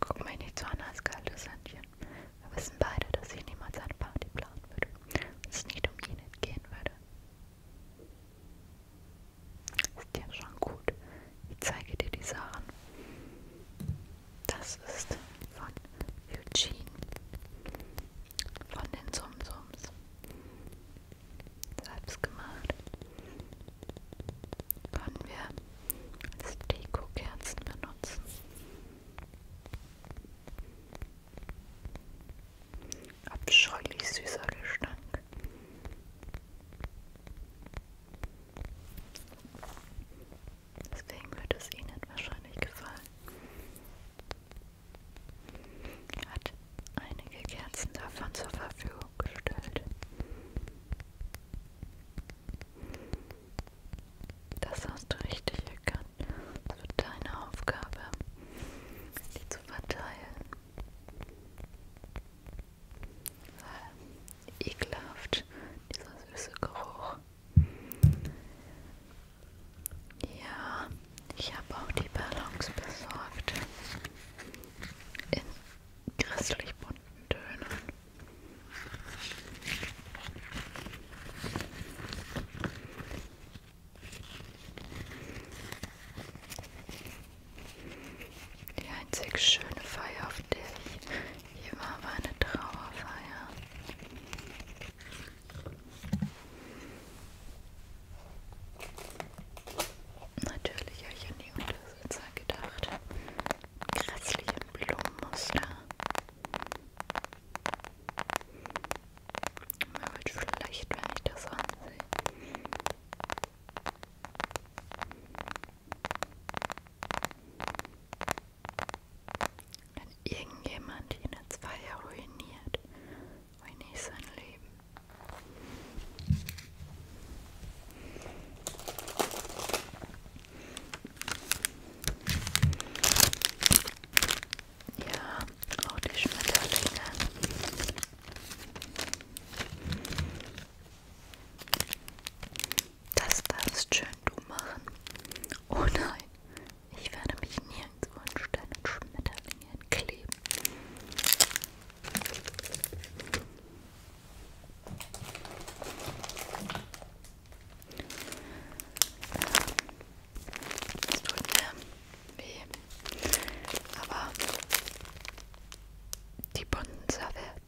Guck mich nicht so an als kaltes Händchen. Wir wissen beide, dass ich niemals eine Party planen würde und es nicht um ihn entgehen würde. Ist ja schon gut. Ich zeige dir die Sachen. Das ist von Eugene. Von den Sumsums. Selbst gemacht können wir als Dekokerzen benutzen. Abscheulich süßer Gestank. Deswegen wird es Ihnen wahrscheinlich gefallen. Er hat einige Kerzen davon zur Verfügung vorgestellt. Das hast du richtig erkannt. Das wird deine Aufgabe, die zu verteilen. Weil ekelhaft, dieser süße Geruch. Ja, ich habe auch die Ballons besorgt. In christlich bunten Tönen. Die einzig schöne Feier, auf der ich je war, war eine Trauerfeier. Natürlich habe ich an die Untersitzer gedacht. Grässlichen Blumenmuster. Mir wird schlecht, wenn ich das ansehe. Wenn irgendjemand ihn jetzt Feier ruiniert, ruiniere ich sein Leben. Ja, auch die Schmetterlinge. Das darfst schön du machen. Oh nein, ich werde mich nirgendwo an Stein und Schmetterlinge kleben. Es tut mir weh, aber die Bonser werden.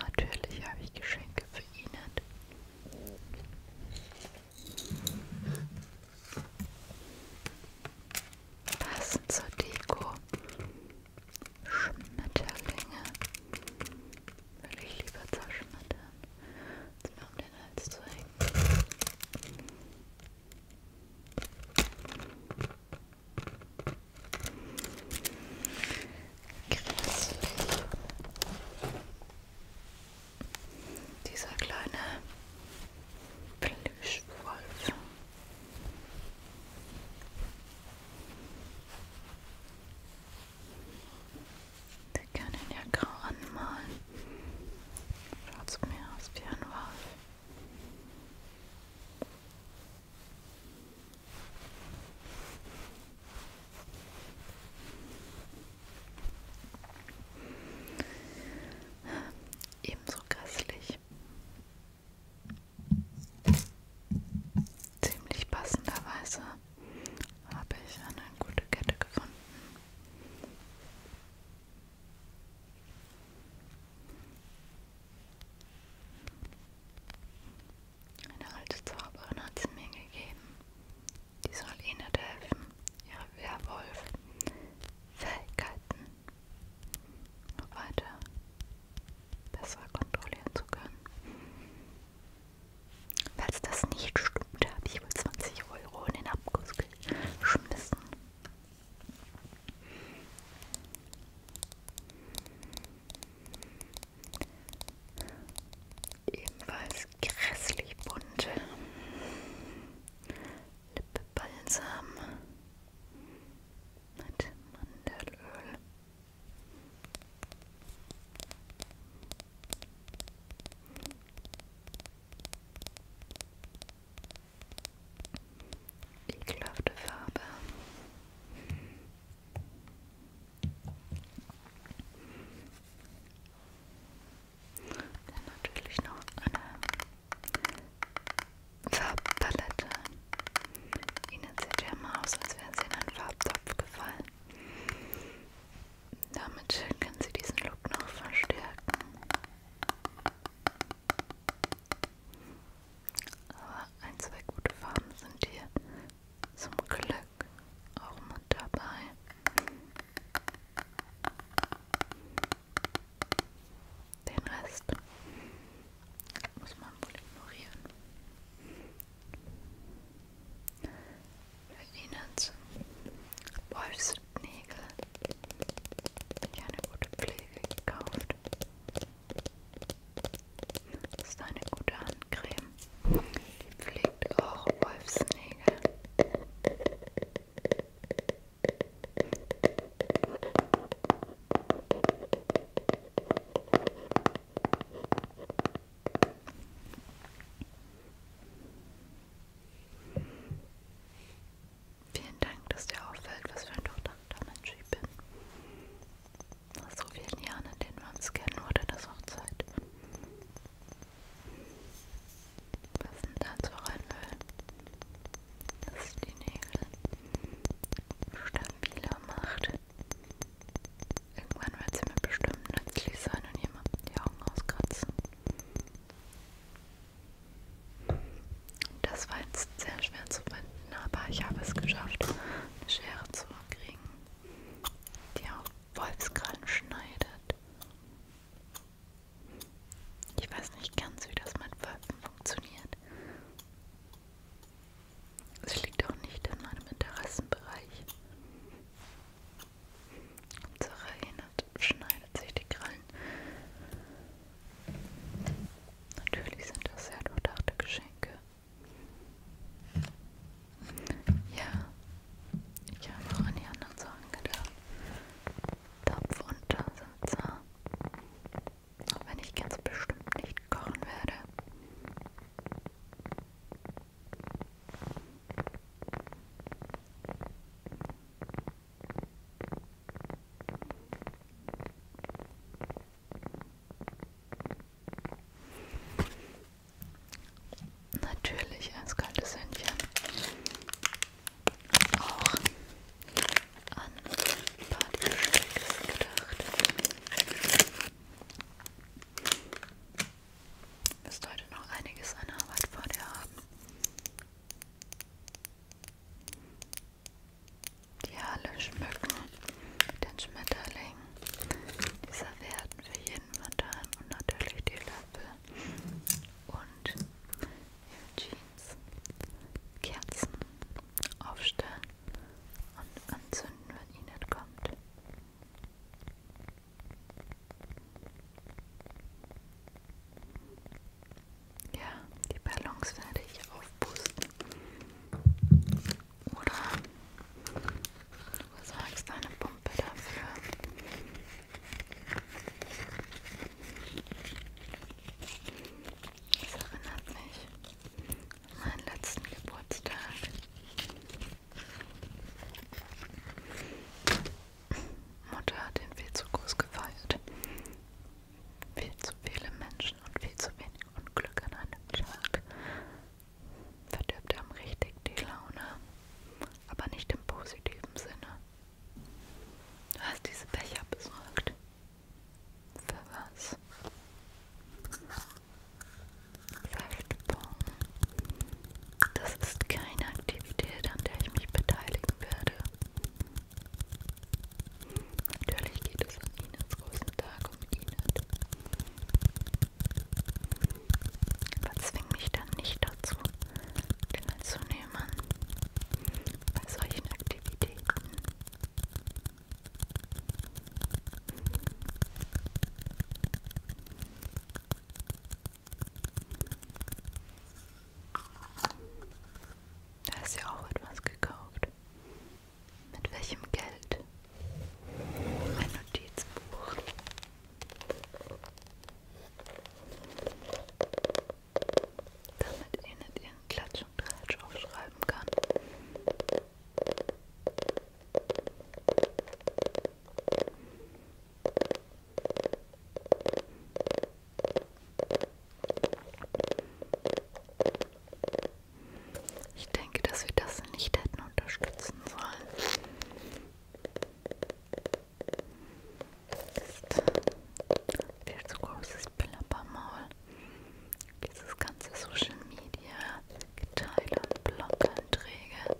Natürlich habe ich Geschenke für Ihnen. Passend zur Deko. Schmetterlinge. Würde ich lieber zerschmettern, als mir um den Hals zu hängen. Grässlich. Dieser kleine Plüschwolf. Wir können ihn ja grau anmalen. Schaut zu mir aus wie ein Wolf. Ebenso grässlich. Ziemlich passenderweise habe ich eine gute Kette gefunden. Eine alte Zauberin hat sie mir gegeben. Die soll ihnen helfen, ihre Werwolf-Fähigkeiten noch weiter besser kontrollieren zu können. Falls das nicht stimmt, habe ich wohl 20 Euro in den Abguss geschmissen. Ebenfalls dieses grässlich bunte Lippenbalsam mit Mandelöl. Ekelhafte Farbe. Dann natürlich noch eine Farbpalette. Ihnen sieht ja immer aus, als wären sie in einen Farbtopf gefallen. Damit können Sie diesen Look noch verstärken. Aber ein, zwei gute Farben sind hier zum Glück auch mit dabei. Den Rest muss man wohl ignorieren. Verwienert Wolfsnägel. Ich eine gute Pflege gekauft. Das ist eine gute Handcreme. Die Pflege trägt auch Wolfsnägel. Vielen Dank, dass dir auffällt, was für ein durchdachter Mensch ich bin. Nach so vielen Jahren, in denen wir uns kennen, wurde das auch Zeit. Was sind da zur Reinöl? Das ist die Nägel stabiler macht. Irgendwann wird sie mir bestimmt nützlich sein und jemandem die Augen auskratzen. Das war jetzt sehr schwer zu finden, aber ich habe es geschafft, eine Schere zu kriegen, die auch Wolfskrallen schneidet. Ich weiß nicht ganz, wie das mit Wölfen funktioniert. Es liegt auch nicht in meinem Interessenbereich. Hauptsache erinnert, schneidet sich die Krallen. Natürlich sind das sehr durchdachte Geschenke. Ja, ich habe auch an die anderen Sachen gedacht. Topf und Tassenzahn. Auch wenn ich ganz bestimmt nicht kochen werde. Natürlich eiskaltes Händchen. Auch an Partybesteck gedacht. Du wirst heute noch einiges an Arbeit vor dir haben. Die Halle schmücken mit den Schmetterlingen. Dieser werden für bisschen Mandarin und natürlich die Löffel und Eugenes Kerzen aufstellen und anzünden, wenn ihr nicht kommt. Ja, die Ballons werde ich aufpusten. Oder Du besorgst eine Pumpe dafür. Das erinnert mich an meinen letzten Geburtstag. Mutter hat ihn viel zu groß gefeiert. Viel zu viele Menschen und viel zu wenig Unglück an einem Tag verdirbt einem richtig die Laune, aber nicht im positiven Sinne. Du hast diese Becher besorgt. Für was? Saftbon. Das ist keine Aktivität, an der ich mich beteiligen werde. Natürlich geht es an Inens großen Tag um Inet. Aber zwing mich dann nicht dazu, teilzunehmen bei solchen Aktivitäten. Da ist ja auch etwas gekauft. Mit welchem Geld? Ein Notizbuch. Damit Enid ihren Klatsch und Tratsch aufschreiben kann. Ich denke, dass wir das nicht hätten unterstützen sollen ist viel zu großes Plappermaul. Dieses ganze Social Media, Geteile und Bloganträge,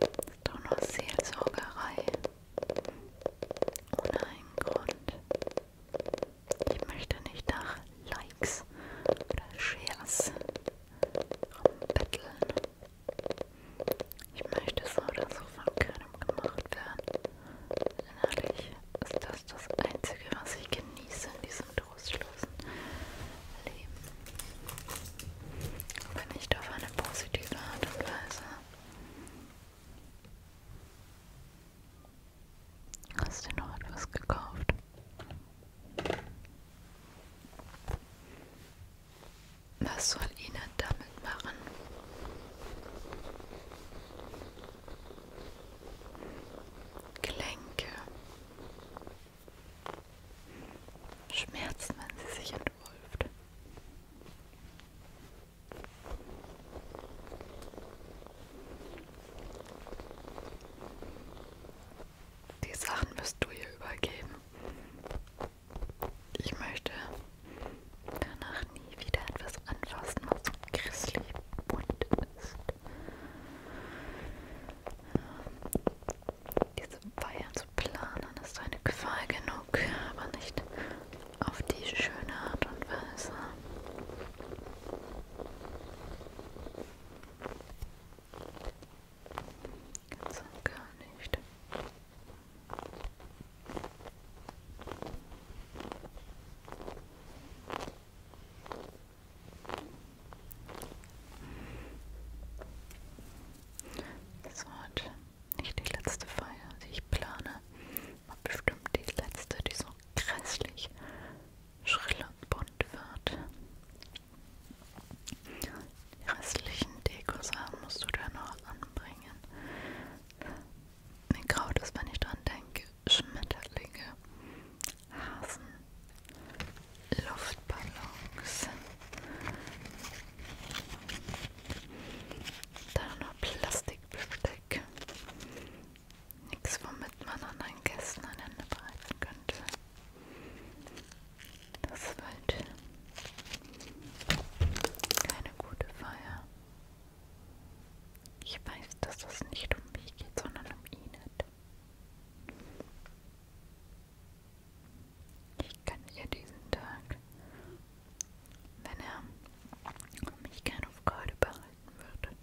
ist doch nur Seelsorgerei. Ohne einen Grund. Ich möchte nicht nach Likes oder Shares rumbetteln. Ich möchte so oder so von keinem gemacht werden. Denn ehrlich ist das das Einzige, was ich genieße in diesem trostlosen Leben. Aber nicht auf eine positive Art und Weise. Hast du noch etwas gekauft? Was soll Ihnen damit machen? Gelenke. Schmerzen, wenn sie sich entwölft. Die Sachen wirst du hier übergeben. Ich möchte danach nie wieder etwas anfassen, was so grisly bunt ist. Ähm, diese Feier zu planen ist eine Qual genug, aber nicht auf die schöne Art und Weise. Ganz und gar nicht. Das war heute nicht die letzte Feier, die ich plane. Aber bestimmt die letzte, die so grässlich schrill und bunt wird. Die restlichen Deko-Sachen äh, musst du da noch anbringen. Mir graut ist, wenn ich dran denke, Schmetterlinge, Hasen, Luftballons, dann noch Plastikbesteck. Nichts, womit man anderen Gästen ein Ende bereiten könnte. Das wird keine gute Feier. Ich weiß, dass es das nicht um mich geht, sondern um Enid. Ich kann ihr diesen Tag, wenn er mich gerne auf Freude behalten würde,